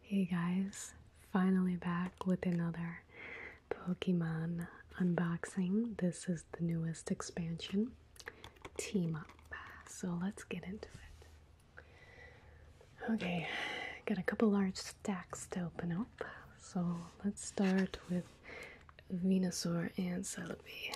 Hey guys, finally back with another Pokemon unboxing. This is the newest expansion, Team Up. So let's get into it. Okay, got a couple large stacks to open up. So let's start with Venusaur and Celebi.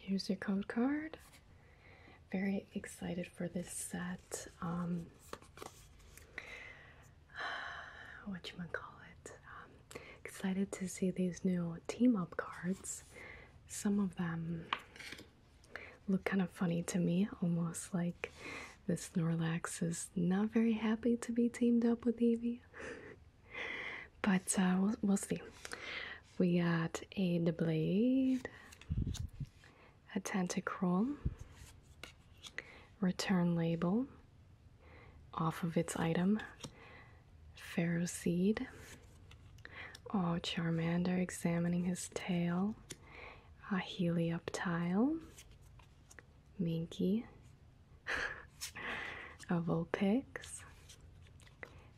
Here's your code card. Very excited for this set. Um, what you wanna call it? Um, excited to see these new team up cards. Some of them look kind of funny to me, almost like this Snorlax is not very happy to be teamed up with Eevee. but uh, we'll, we'll see. We got a Blade, a Tentacruel, Return Label, off of its item. Pharaoh Seed. Oh, Charmander examining his tail. A Helioptile. Minky. a Vulpix.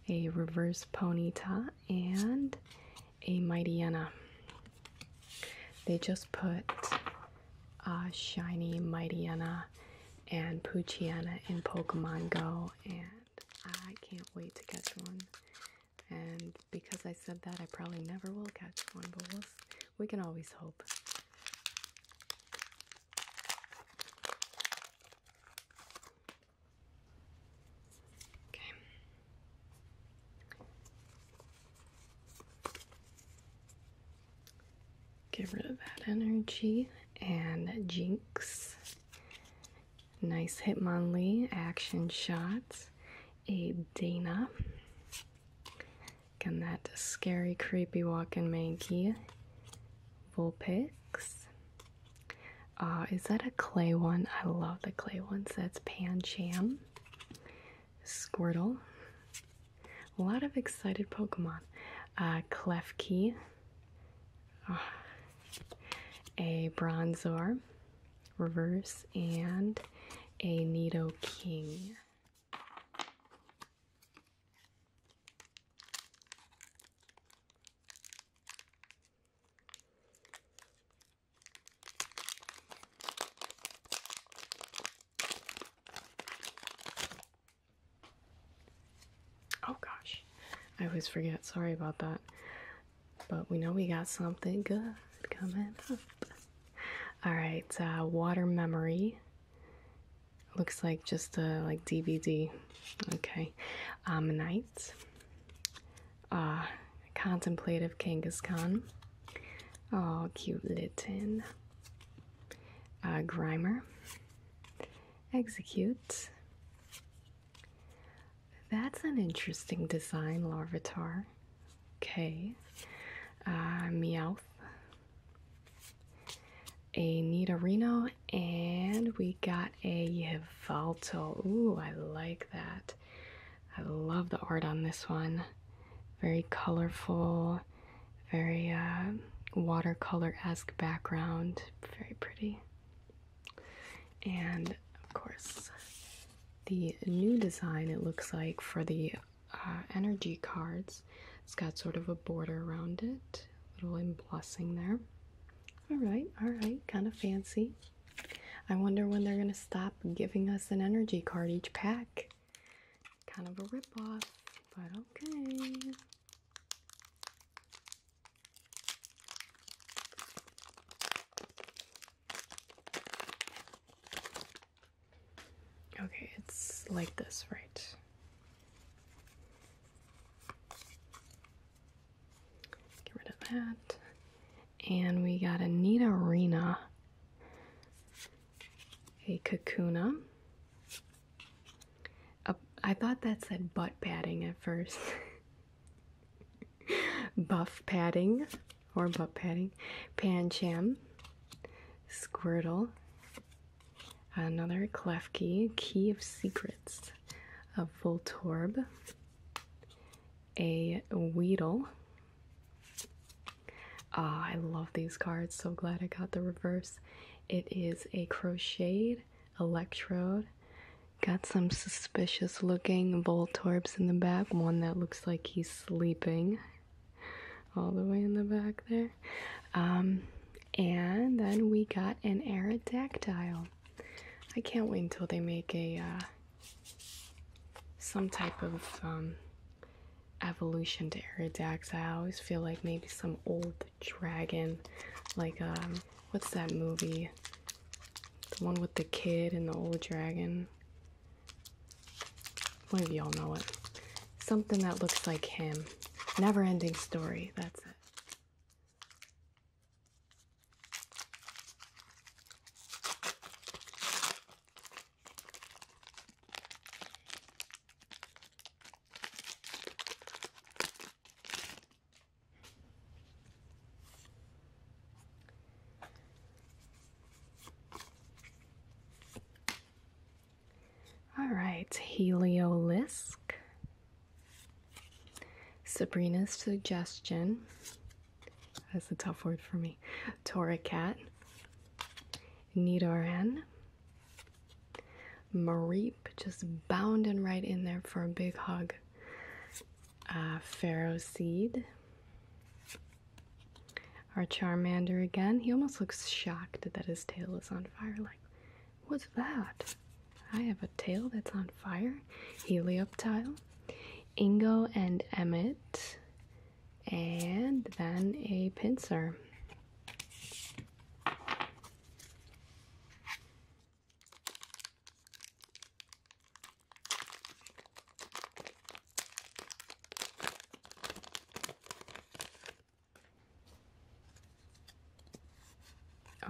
A reverse Ponyta. And a Mightyena. They just put a shiny Mightyena and Poochiana in Pokemon Go, and I can't wait to catch one. And because I said that, I probably never will catch one, but we we can always hope. Okay. Get rid of that energy. And Jinx. Nice Hitmonlee action shots. A Dana. Again, that scary, creepy walking Mankey. Vulpix. Uh, is that a clay one? I love the clay ones. That's Pan Sham. Squirtle. A lot of excited Pokemon. Uh, Key a Bronzor reverse, and a Nido King. Oh gosh, I always forget. Sorry about that. But we know we got something good coming up. All right, uh, Water Memory. Looks like just a uh, like DVD. Okay, um, Night. Uh, contemplative Kangaskhan. Oh, cute Litten. Uh, Grimer. Execute. That's an interesting design, Larvitar. Okay. Uh, Meowth. A Nidorino, and we got a Yveltal. Ooh, I like that. I love the art on this one. Very colorful very uh, watercolor-esque background, very pretty. And of course, the new design it looks like for the uh, energy cards. It's got sort of a border around it, little embossing there. All right, all right, kind of fancy. I wonder when they're gonna stop giving us an energy card each pack. Kind of a ripoff, but okay. Okay, it's like this, right? Get rid of that. And we got a Nidorina, a Kakuna, a, I thought that said butt padding at first. Buff padding or butt padding. Pancham. Squirtle. Another Clef Key Key of Secrets. A Voltorb. A Weedle. Ah, I love these cards. So glad I got the reverse. It is a crocheted electrode. Got some suspicious looking Voltorbs in the back, one that looks like he's sleeping all the way in the back there. Um, and then we got an Aerodactyl. I can't wait until they make a uh, some type of um, evolution to Aerodactyl. I always feel like maybe some old dragon, like um, what's that movie? The one with the kid and the old dragon. One of y'all know it. Something that looks like him. Never ending story, that's it. All right, Heliolisk. Sabrina's suggestion. That's a tough word for me. Tora Cat. Nidoran. Mareep just bounding right in there for a big hug. Uh, Pharaoh Seed. Our Charmander again. He almost looks shocked that his tail is on fire. Like, what's that? I have a tail that's on fire. Helioptile. Ingo and Emmett. And then a pincer.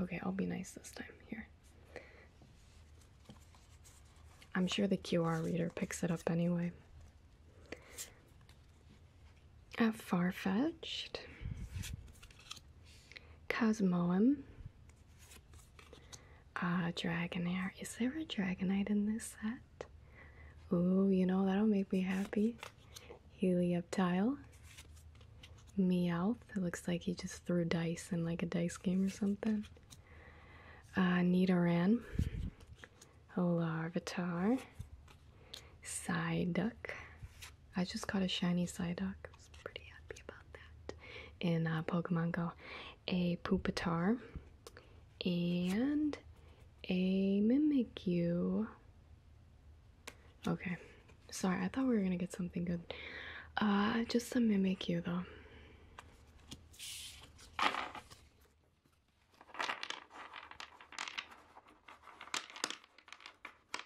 Okay, I'll be nice this time here. I'm sure the QR reader picks it up anyway. A far-fetched, Cosmoem, uh, Dragonair. Is there a Dragonite in this set? Ooh, you know, that'll make me happy. Helioptile. Meowth. It looks like he just threw dice in like a dice game or something. Uh, Nidoran. Larvitar. Side duck. I just got a shiny side duck. I was pretty happy about that. In uh, Pokemon Go, a Pupitar and a Mimikyu. Okay, sorry, I thought we were gonna get something good. Uh, just some Mimikyu though.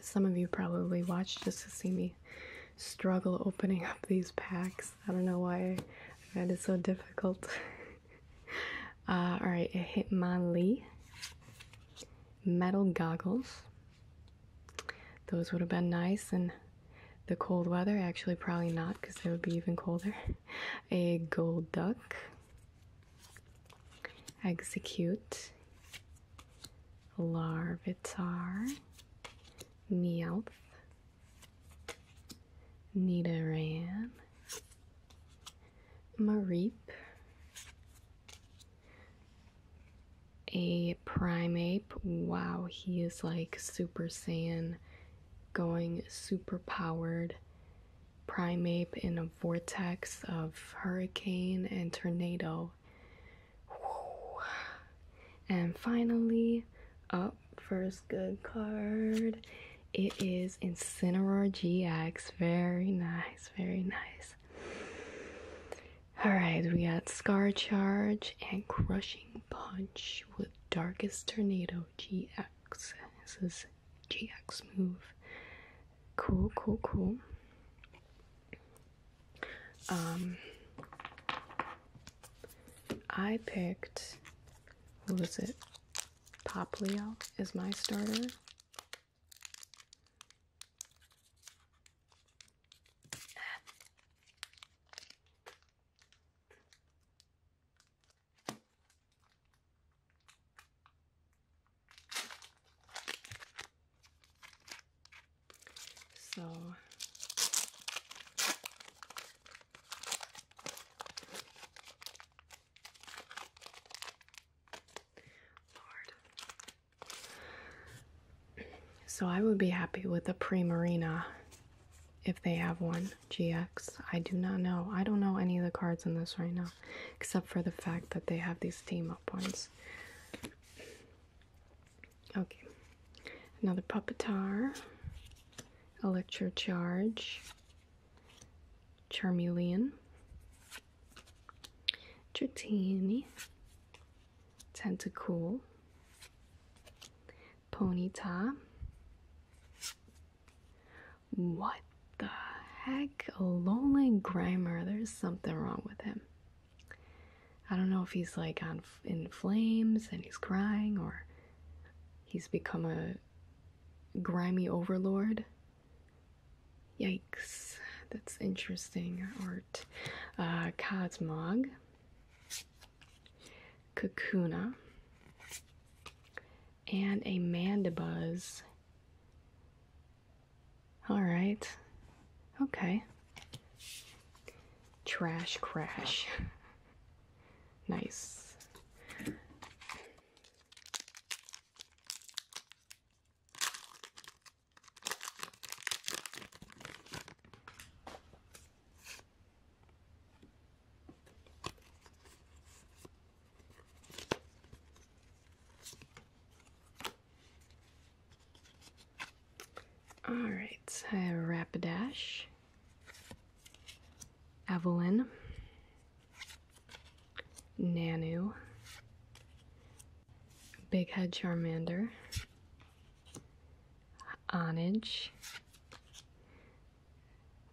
Some of you probably watched just to see me struggle opening up these packs. I don't know why I so difficult. Uh, all right, uh, Alright, Lee metal goggles. Those would have been nice in the cold weather. Actually, probably not because it would be even colder. A gold duck execute, larvitar, meowth, nidoran, Marip. a primeape. Wow, he is like Super Saiyan, going super powered. Primate in a vortex of hurricane and tornado. And finally, up first good card. It is Incineroar GX. Very nice, very nice. Alright, we got Scar Charge and Crushing Punch with Darkest Tornado GX. This is GX move. Cool, cool, cool. Um, I picked, what was it? Poplio is my starter. So Lord. So I would be happy with a pre Marina if they have one. GX. I do not know. I don't know any of the cards in this right now except for the fact that they have these team up ones. Okay, another puppetar, Electrocharge, Charmeleon, Dratini, Tentacool, Ponyta, what the heck? lonely Grimer, there's something wrong with him. I don't know if he's like on in flames and he's crying or he's become a grimy overlord. Yikes, that's interesting art. Uh, Cosmog, Kakuna, and a Mandibuzz all right. Okay. Trash crash. nice. All right, I Rapidash, Evelyn, Nanu, Big Head Charmander, Onage,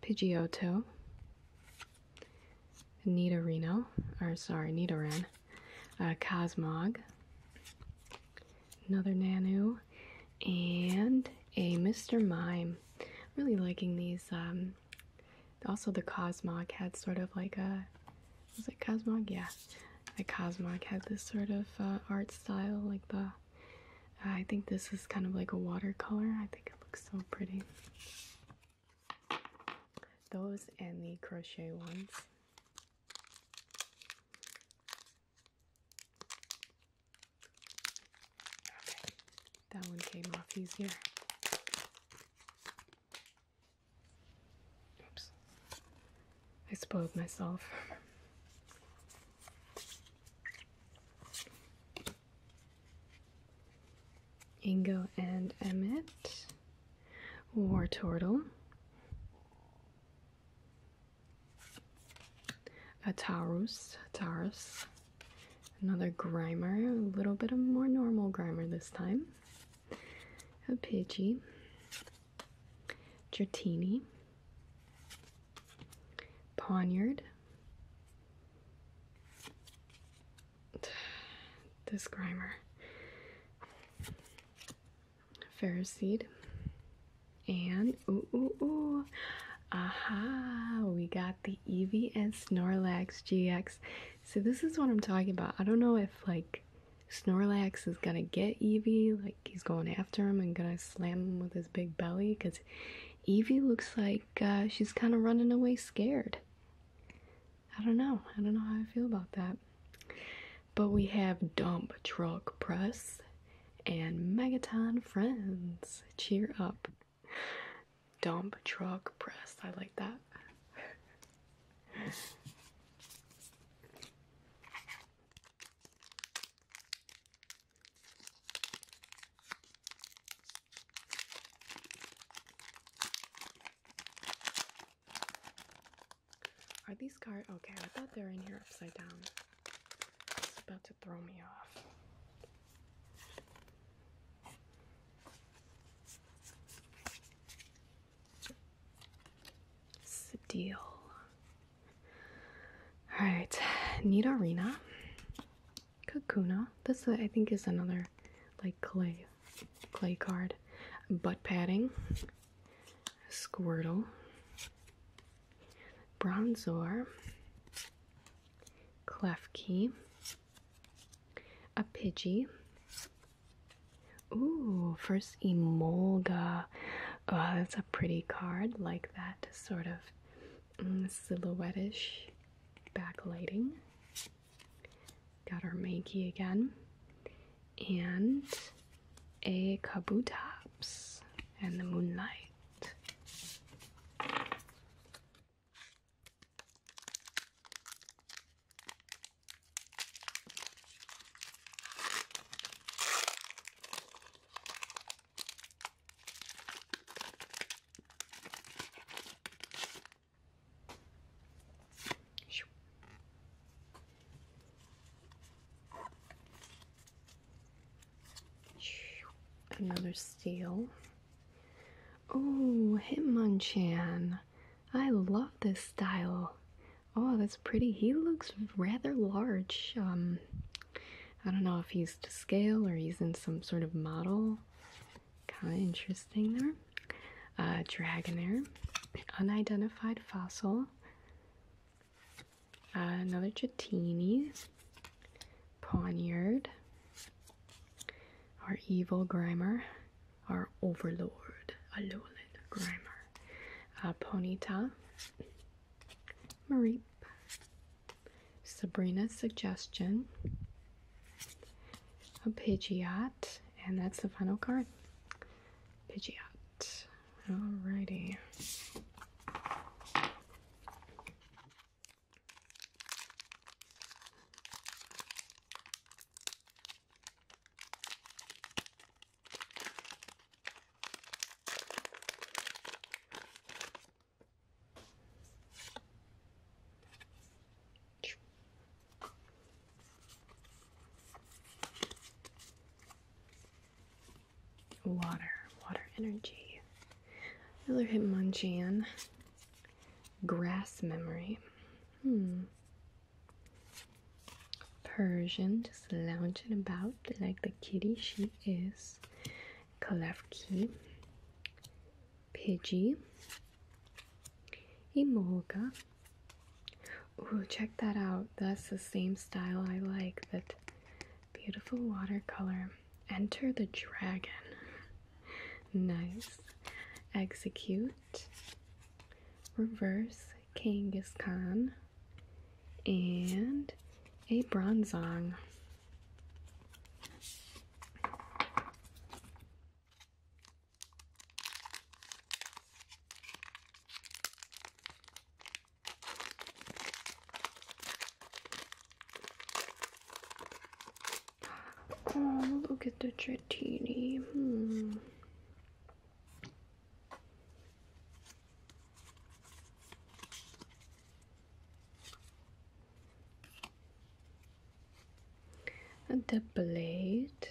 Pidgeotto, Nita Reno, or sorry, Nita Ren, uh, Cosmog, another Nanu, and a Mr. Mime. Really liking these. Um, also, the Cosmog had sort of like a. Was it Cosmog? Yeah. The Cosmog had this sort of uh, art style, like the. I think this is kind of like a watercolor. I think it looks so pretty. Those and the crochet ones. that one came off easier. Oops, I spoiled myself. Ingo and Emmett, War Turtle, a Taurus, Taurus, another Grimer, a little bit of more normal Grimer this time, a Pidgey, Dratini, Poniard, this grimer, ferris and ooh aha! We got the Eevee and Snorlax GX. So this is what I'm talking about. I don't know if like Snorlax is gonna get Eevee, like he's going after him and gonna slam him with his big belly, because Evie looks like uh, she's kind of running away scared. I don't know. I don't know how I feel about that. But we have Dump Truck Press and Megaton Friends. Cheer up. Dump Truck Press. I like that. Are these cards okay? I thought they were in here upside down. It's about to throw me off. It's deal. All right, Nita Arena. Kakuna. This I think is another like clay clay card. Butt padding. Squirtle. Bronzor. Klefki. A Pidgey. Ooh, first Emolga. Oh, that's a pretty card. Like that sort of mm, backlighting. Got our Makey again. And a Kabutops and the Moonlight. Another steel. Oh, Hitmonchan. I love this style. Oh, that's pretty. He looks rather large. Um, I don't know if he's to scale or he's in some sort of model. Kind of interesting there uh, dragonair, unidentified fossil, another Chatini, Poniard, our evil Grimer, our overlord, Alolan Grimer, uh, Ponyta, Mareep, Sabrina's suggestion, a Pidgeot, and that's the final card. Pidgeot. Alrighty. Water, water energy. Another hit, Hitmonchan. Grass memory. Hmm. Persian, just lounging about like the kitty she is. Kalevki. Pidgey, Emolga. Ooh, check that out. That's the same style I like. That beautiful watercolor. Enter the dragon. nice. Execute. Reverse Kangaskhan. And a Bronzong. Oh, look at the Trattini. Hmm the blade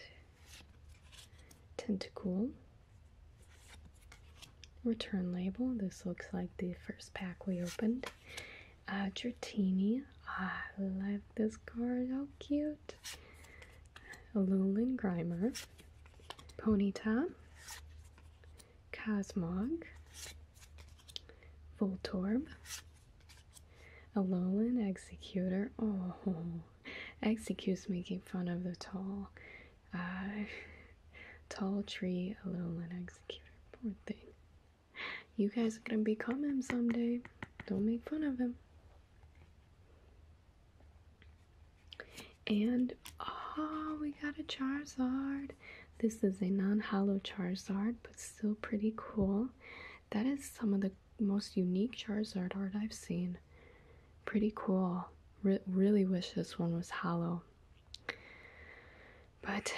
tentacle return label this looks like the first pack we opened uh i love this card how cute Alolan grimer ponyta cosmog voltorb a Alolan Executor. Oh, Execute's making fun of the tall, uh, tall tree A Alolan Executor. Poor thing. You guys are gonna become him someday. Don't make fun of him. And oh, we got a Charizard. This is a non hollow Charizard, but still pretty cool. That is some of the most unique Charizard art I've seen. Pretty cool. really wish this one was hollow. But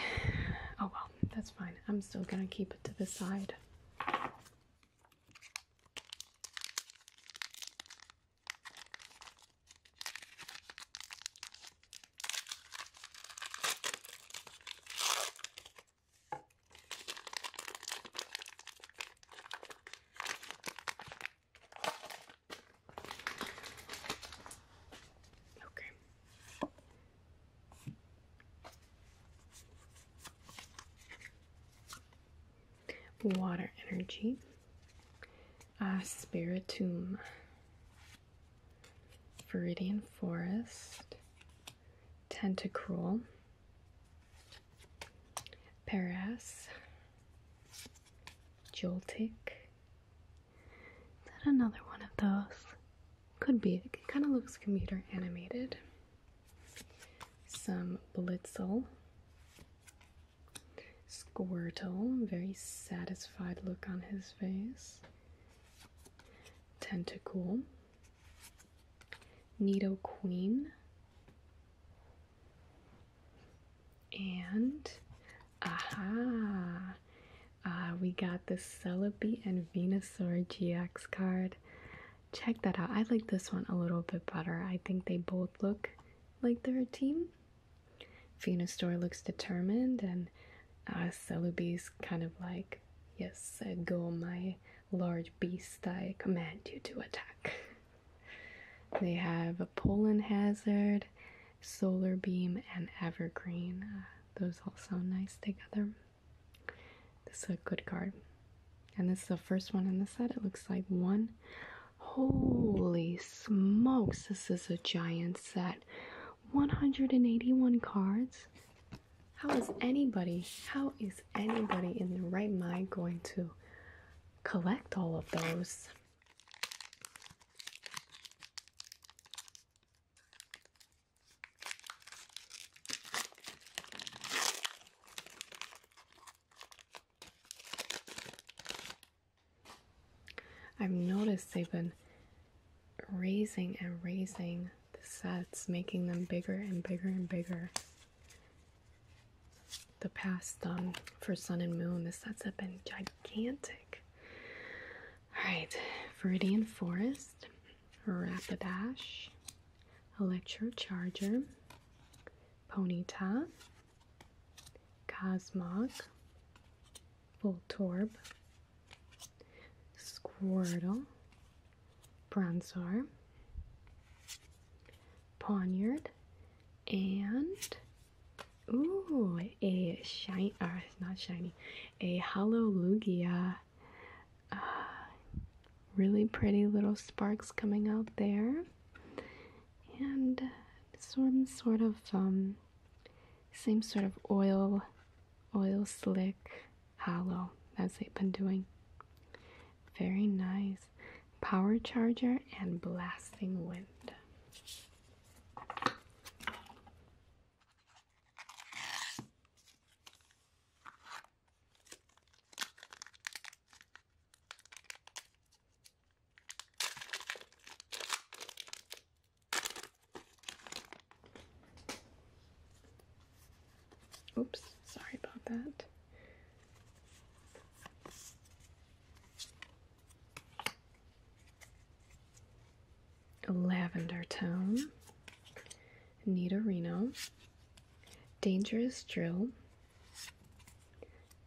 oh well, that's fine. I'm still going to keep it to the side. Okay. Water energy. Spiritum. Viridian Forest. Tentacruel, Paras, Joltik. Is that another one of those? Could be. It kind of looks computer animated. Some Blitzel. Squirtle, very satisfied look on his face. Tentacool, Nido Queen, and aha, uh, we got the Celebi and Venusaur GX card. Check that out. I like this one a little bit better. I think they both look like they're a team. Venusaur looks determined, and uh, Celebi is kind of like, yes, I go my Large beast, I command you to attack. they have a pollen Hazard, Solar Beam, and Evergreen. Uh, those all sound nice together. This is a good card. And this is the first one in the set. It looks like one. Holy smokes, this is a giant set. 181 cards. How is anybody, how is anybody in their right mind going to collect all of those? I've noticed they've been raising and raising the sets, making them bigger and bigger and bigger. The past um, for Sun and Moon, the sets have been gigantic. Alright, Viridian Forest, Rapidash, charger, Ponyta, Cosmog, Voltorb, Squirtle, Bronzer, Poniard, and ooh, a shine. uh, it's not shiny, a hollow Lugia. Uh, really pretty little sparks coming out there. And some sort of um, same sort of oil, oil slick Hello. as they've been doing. Very nice. Power charger and blasting wind. Oops, sorry about that. lavender tone, Nidorino, Dangerous Drill,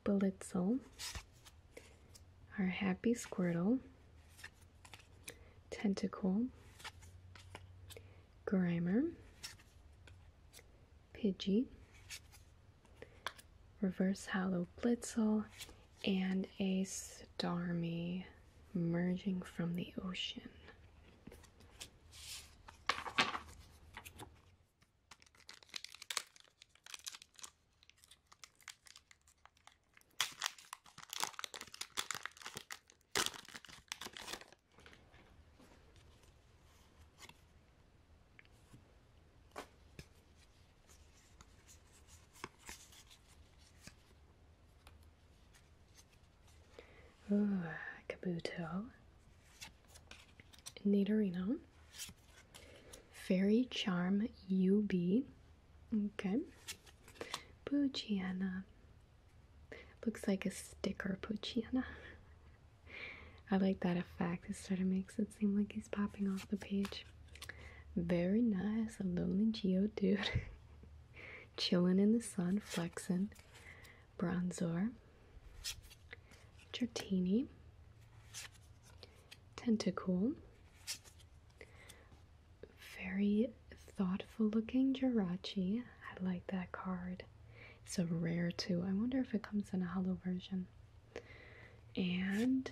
Blitzel, our Happy squirrel. Tentacle, Grimer, Pidgey, Reverse Hollow Blitzel, and a Starmie merging from the ocean. Ooh, Kabuto, Nidorino, Fairy Charm UB, okay, Bugiana, Looks like a sticker Poochyena. I like that effect. It sort of makes it seem like he's popping off the page. Very nice, a lonely dude, Chilling in the sun, flexing. Bronzor. Dratini. Tentacool. Very thoughtful looking Jirachi. I like that card. It's a rare too. I wonder if it comes in a hollow version. And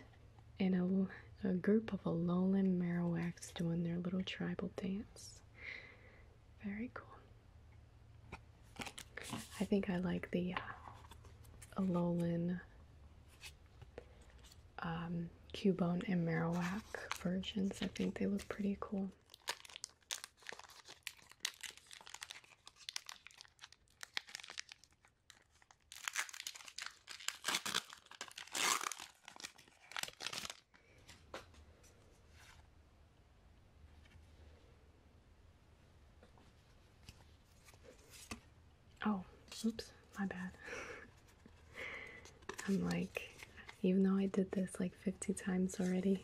in a, a group of a Alolan Marowaks doing their little tribal dance. Very cool. I think I like the uh, Alolan um, Cubone and Marowak versions. I think they look pretty cool. Oh, oops, my bad. I'm like, even though I did this like 50 times already,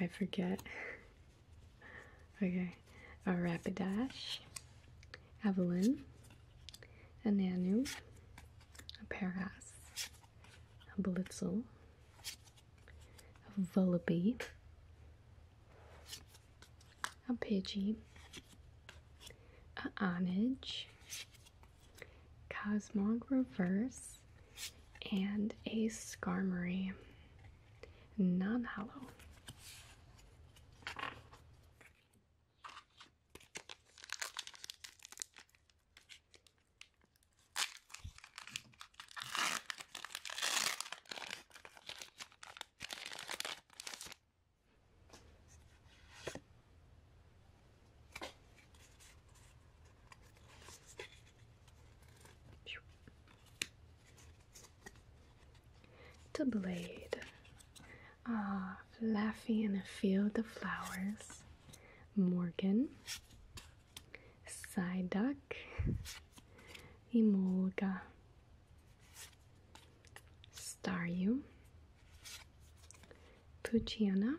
I forget. okay, a Rapidash, Evelyn, a Nanu, a Paras, a Blitzel, a Vullaby, a Pidgey, a Onage, Cosmog Reverse, and a Skarmory non hollow. The blade, ah, Laffy in a field of flowers, Morgan, Psyduck, Emolga, Staryu, Puchiana,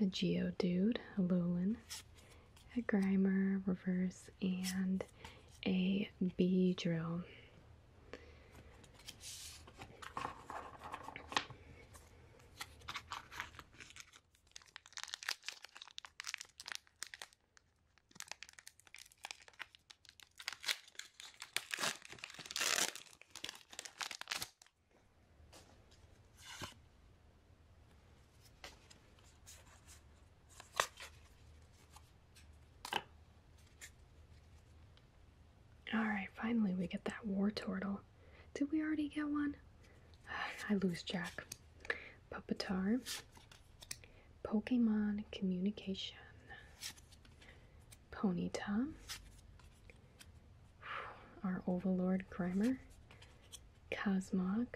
a Geodude, a Alolan, a Grimer, Reverse, and a Beedrill. Alright, finally we get that war turtle. Did we already get one? I lose track. Puppetar. Pokemon Communication. Ponyta, our Overlord Grimer, Cosmog.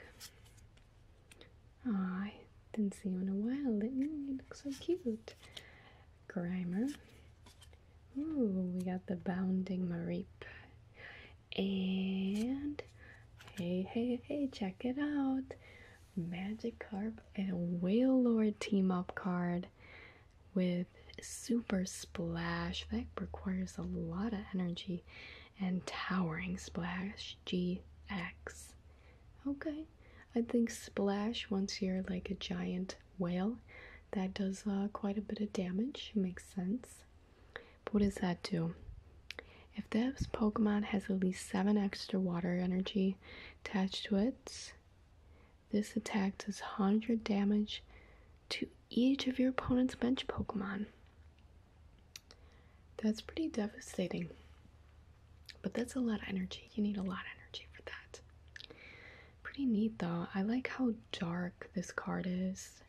Aw, ah, I didn't see you in a while, did you? look so cute. Grimer. Ooh, we got the Bounding Mareep. And hey, hey, hey, check it out. Magikarp and Whale Lord team up card with super splash that requires a lot of energy and towering splash gx okay i think splash once you're like a giant whale that does uh, quite a bit of damage makes sense what does that do if this pokemon has at least 7 extra water energy attached to it this attack does 100 damage to each of your opponent's bench Pokemon. That's pretty devastating. But that's a lot of energy. You need a lot of energy for that. Pretty neat though. I like how dark this card is.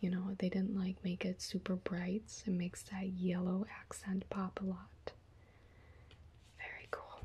You know, they didn't like make it super bright. so It makes that yellow accent pop a lot. Very cool.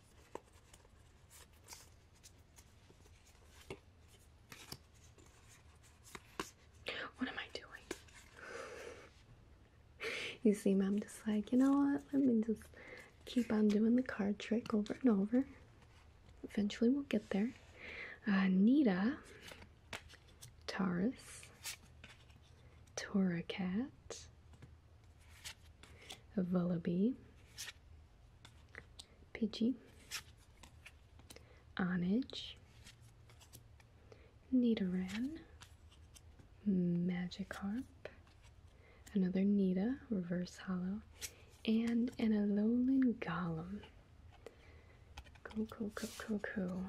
What am I doing? you see, Mom, just like, you know what? Let me just keep on doing the card trick over and over. Eventually, we'll get there. Nita, Taurus, Toracat, Vullaby, Pidgey, Onage, Nidoran, Magikarp, another Nita, Reverse Hollow, and an Alolan Golem. Cool, cool, cool, cool,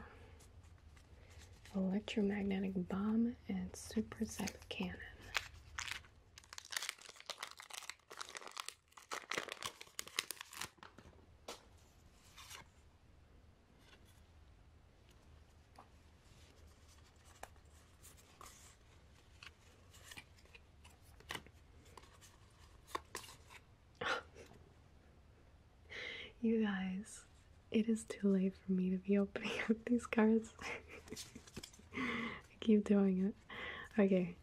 Electromagnetic Bomb and Super Cyber Cannon. you guys, it is too late for me to be opening up these cards. I keep doing it. okay,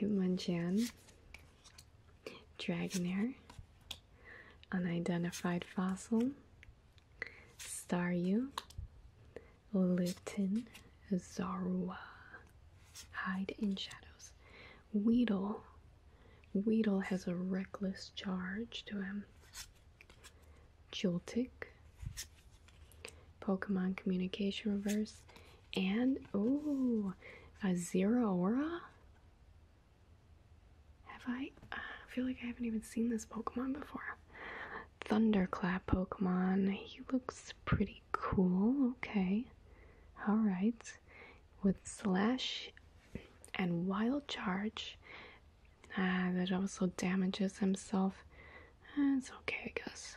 Hitmonchan, Dragonair, Unidentified Fossil, Staryu, Lutin, Zorua, Hide in Shadows, Weedle. Weedle has a reckless charge to him. Joltik, Pokemon Communication Reverse, and oh, a Zeraora. Have I? Uh, I feel like I haven't even seen this Pokemon before. Thunderclap Pokemon. He looks pretty cool. Okay. All right. With Slash and Wild Charge. Ah, that also damages himself. it's okay, I guess.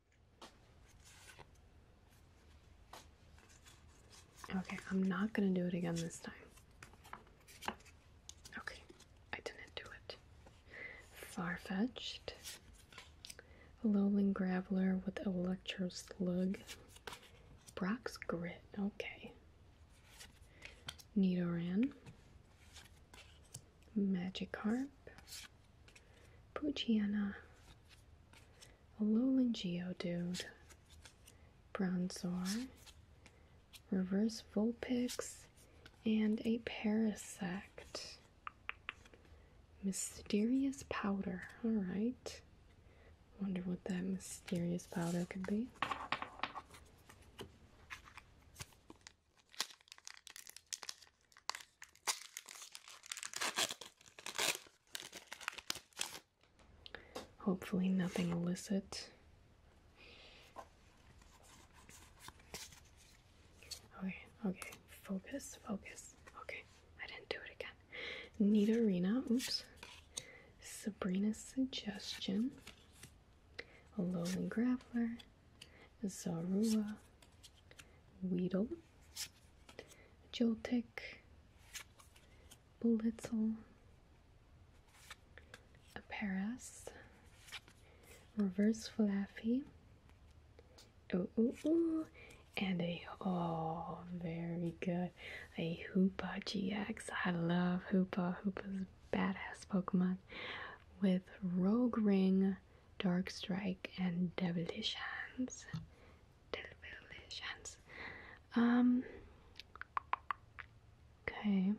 Okay, I'm not gonna do it again this time. Okay, I didn't do it. Far-fetched. Lowland Graveler with Electro Slug. Brock's Grit, okay. Nidoran. Magikarp. Poochiana a lowland dude. bronzor, reverse vulpix, and a parasect. Mysterious powder. Alright. Wonder what that mysterious powder could be. Hopefully, nothing illicit. Okay, okay, focus, focus. Okay, I didn't do it again. Nita Arena, oops. Sabrina's Suggestion. A Alolan Grappler. Zarua. Weedle. Joltik, Blitzel, a Paris, Reverse Flaffy, ooh, and a, oh, very good, a Hoopa GX. I love Hoopa. Hoopa's badass Pokemon with Rogue Ring, Dark Strike, and Devilish Hands televisions. Um, okay,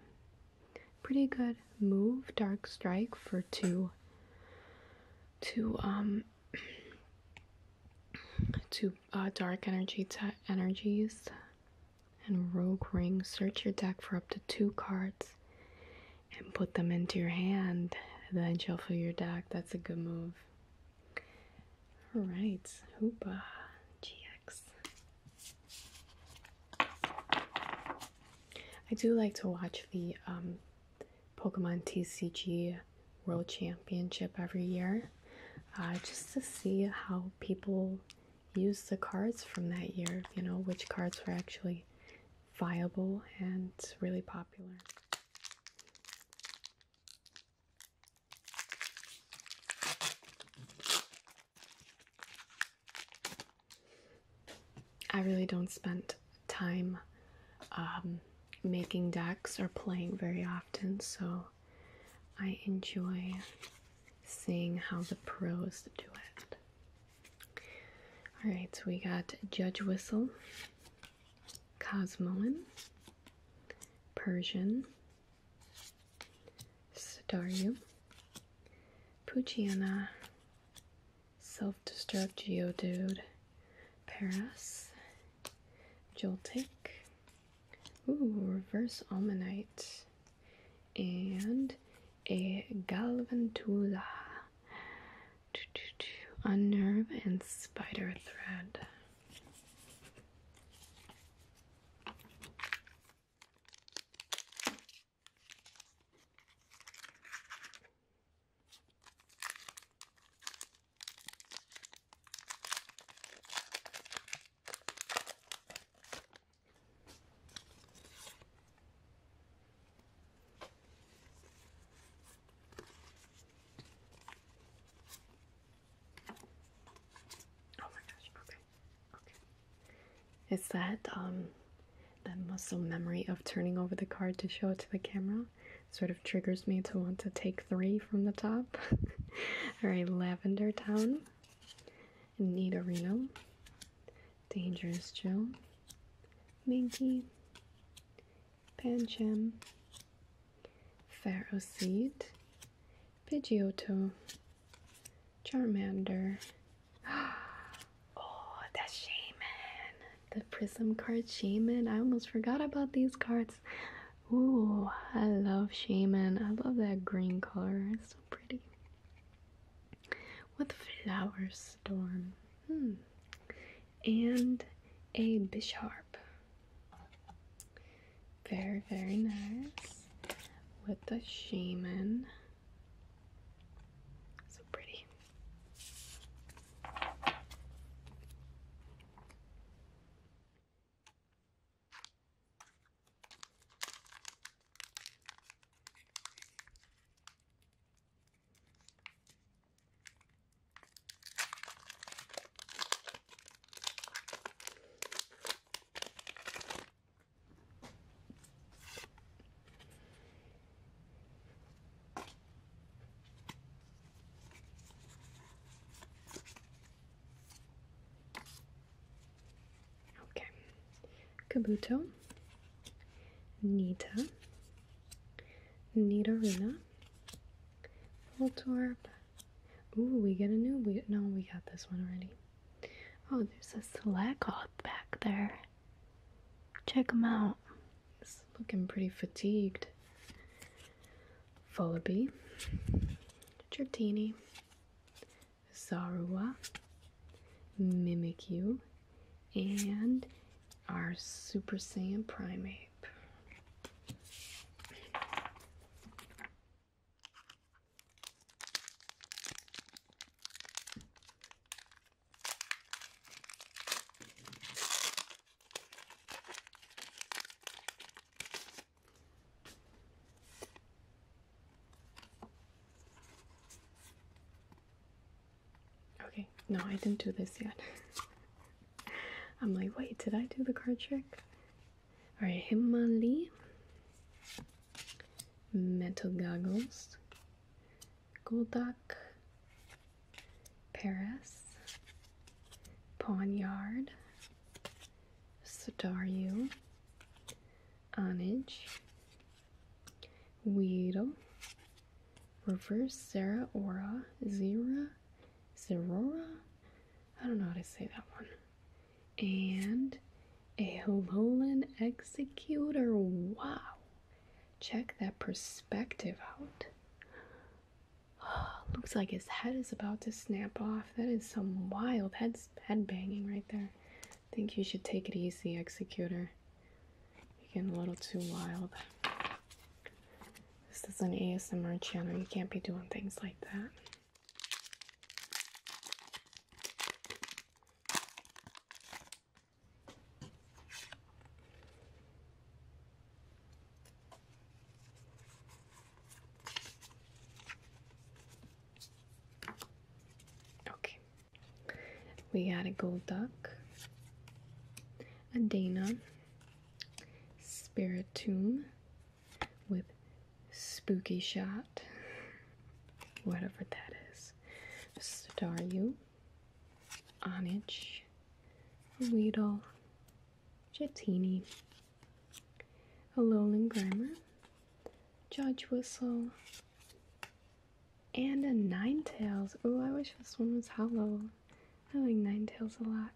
pretty good move. Dark strike for two. To um. to uh, dark energy to energies and rogue ring. Search your deck for up to two cards and put them into your hand. Then shuffle your deck. That's a good move. All right, Hoopa GX. I do like to watch the um, Pokemon TCG World Championship every year uh, just to see how people use the cards from that year, you know, which cards were actually viable and really popular. I really don't spend time um, making decks or playing very often, so I enjoy seeing how the pros do it. Alright, so we got Judge Whistle, Cosmoan, Persian, Staryu, Puchiana, Self-Destruct Geodude, Paras, Joltik, ooh, Reverse Almanite, and a Galvantula. Unnerve and spider thread. Oh my gosh, okay. Okay. It's that um that muscle memory of turning over the card to show it to the camera sort of triggers me to want to take three from the top. Alright, Lavender Town. Reno, Dangerous Joe. Minky. Pancham, Pharaoh Seed, Pidgeotto, Charmander. Oh, the Shaman! The Prism card Shaman. I almost forgot about these cards. Ooh, I love Shaman. I love that green color. It's so pretty. With Flower Storm. Hmm and a bisharp. Very, very nice with the shaman. So pretty. Okay, Kabuto, Nita, Nidorina, Voltorb. Ooh, we get a new. We, no, we got this one already. Oh, there's a Slakoth back there. Check him out. He's looking pretty fatigued. Fullaby. Dratini. Sarua. Mimikyu. And our Super Saiyan Primate. Okay, no, I didn't do this yet. I'm like, wait, did I do the card trick? Alright, Himali. Metal Goggles. Golduck. Paris. poniard, Yard. anage, Onage. Reverse Sarah Aura. Zira is I don't know how to say that one. And a Hololan Executor. Wow. Check that perspective out. looks like his head is about to snap off. That is some wild head, head banging right there. I think you should take it easy, Executor. You're getting a little too wild. This is an ASMR channel. You can't be doing things like that. Okay, we got a gold duck, a Dana, Spiritomb with Spooky Shot, whatever that is, Staryu, Onich, Weedle, a Alolan Grammar, Judge Whistle, and a nine tails. Oh, I wish this one was hollow. I like nine tails a lot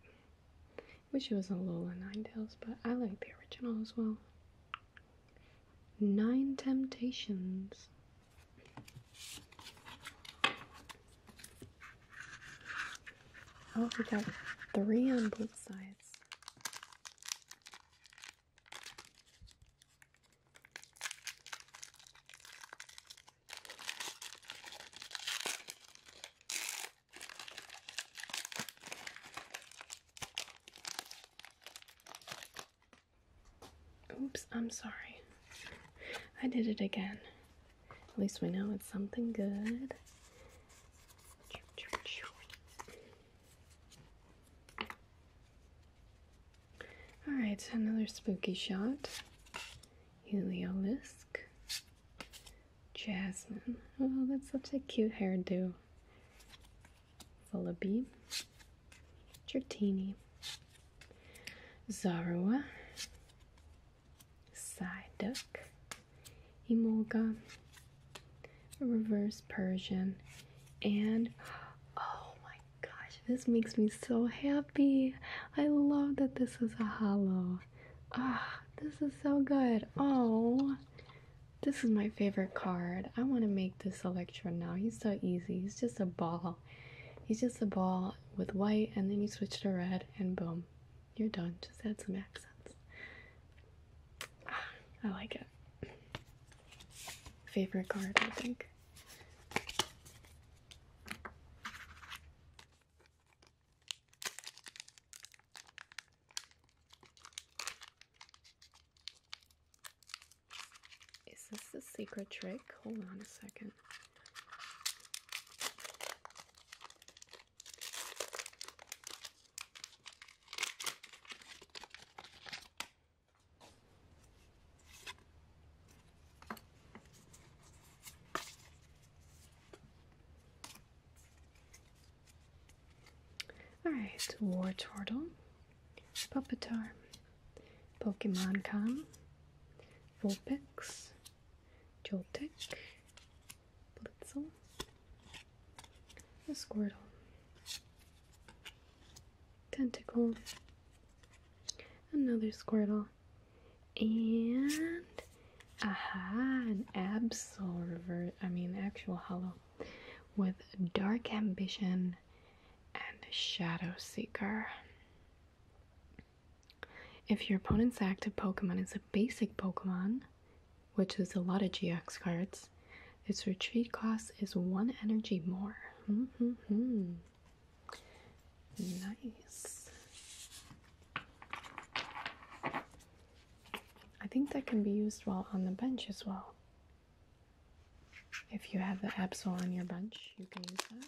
which was a Lola Ninetales, but I like the original as well. Nine Temptations. Oh, we got three on both sides. Oops, I'm sorry. I did it again. At least we know it's something good. Alright, another spooky shot. Heliolisk. Jasmine. Oh, that's such a cute hairdo. Vullaby. Gertini. Zarua. Psyduck. Emolga. Reverse Persian. And oh my gosh, this makes me so happy. I love that this is a hollow. Ah, this is so good. Oh, this is my favorite card. I want to make this Electro now. He's so easy. He's just a ball. He's just a ball with white, and then you switch to red, and boom, you're done. Just add some accents. Ah, I like it. Favorite card, I think. Is this the secret trick? Hold on a second. Alright, War Turtle, Puppetar, Pokemon Com, Vulpix, Joltik, Blitzel, a Squirtle, Tentacle, another Squirtle, and aha, an absorver. I mean, actual hollow with dark ambition and shadow seeker. If your opponent's active Pokemon is a basic Pokemon, which is a lot of GX cards, its retreat cost is one energy more. Nice. I think that can be used while on the bench as well. If you have the Absol on your bench, you can use that.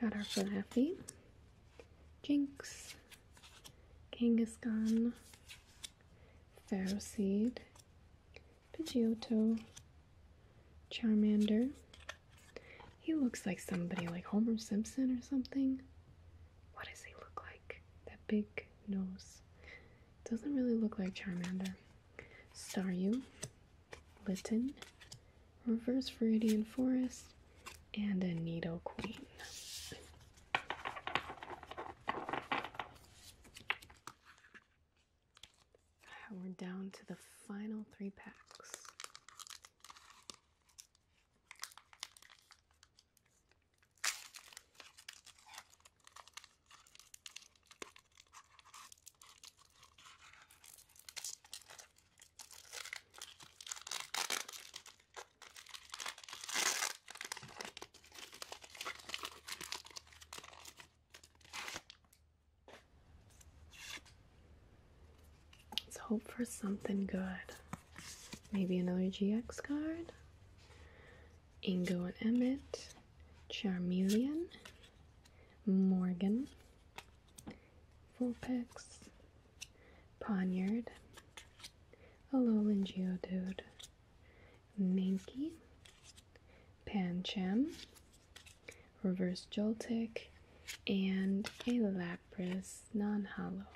Got our Flaffy, Jinx, Kangaskhan, Pharaohseed, Pidgeotto, Charmander. He looks like somebody like Homer Simpson or something. What does he look like? That big nose. Doesn't really look like Charmander. Staryu, Litten, Reverse Viridian Forest, and a Needle Queen. Ah, we're down to the final three packs. Let's hope for something good. Maybe another GX card. Ingo and Emmett, Charmeleon, Morgan, Vulpix, Ponyard, Alolan Geodude, Mankey, Pancham, Reverse Joltik, and a Lapras non-hollow.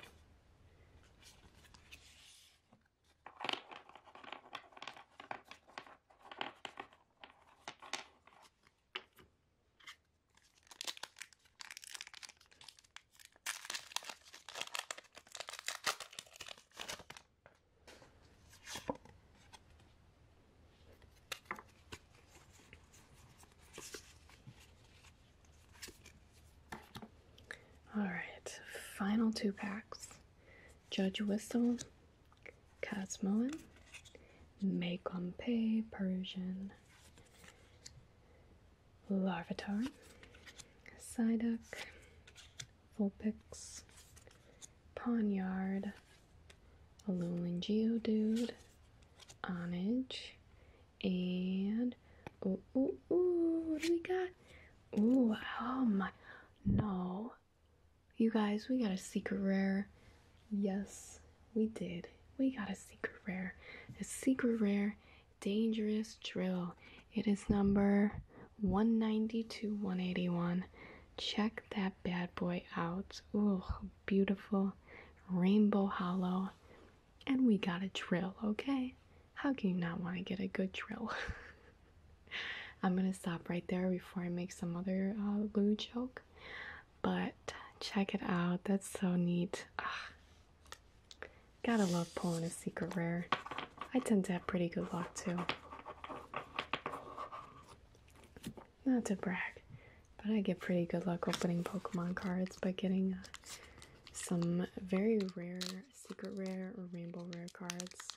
All right, final two packs. Judge Whistle, Casmoan, Mekompe, Persian, Larvitar, Psyduck, Vulpix, Ponyard, Alolan Dude, Onage, and ooh, ooh, ooh, what do we got? Ooh, oh my, no, you guys, we got a secret rare. Yes, we did. We got a secret rare. A secret rare dangerous drill. It is number 190 to 181. Check that bad boy out. Ooh, beautiful rainbow hollow. And we got a drill, okay? How can you not want to get a good drill? I'm gonna stop right there before I make some other uh, joke. But check it out. That's so neat. Ugh. Gotta love pulling a secret rare. I tend to have pretty good luck too. Not to brag, but I get pretty good luck opening Pokemon cards by getting uh, some very rare secret rare or rainbow rare cards.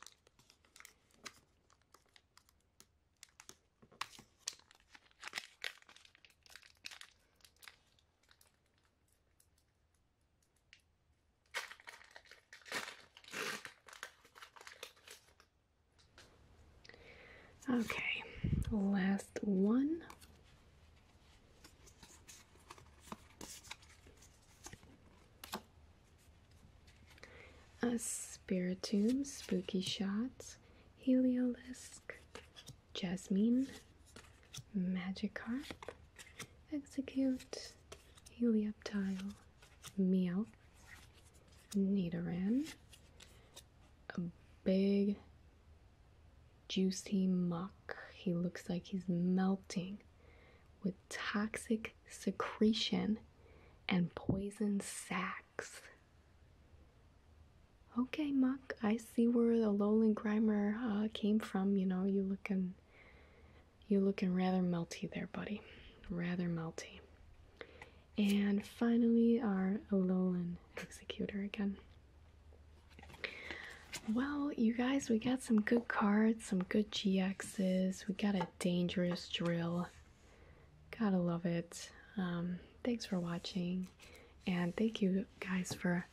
Okay, last one a spiritum, Spooky Shots, Heliolisk, Jasmine, Magikarp, Execute, Helioptile, meow, Nidoran, a big juicy muck. He looks like he's melting with toxic secretion and poison sacs. Okay, Muck, I see where the Lowland Grimer uh, came from. You know, you looking, you looking rather melty there, buddy. Rather melty. And finally, our Alolan Executor again. Well, you guys, we got some good cards, some good GXs. We got a dangerous drill. Gotta love it. Um, thanks for watching, and thank you guys for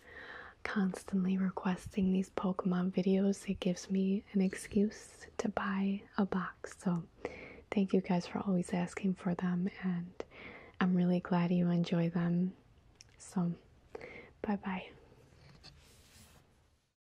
constantly requesting these Pokemon videos. It gives me an excuse to buy a box. So, thank you guys for always asking for them, and I'm really glad you enjoy them. So, bye bye.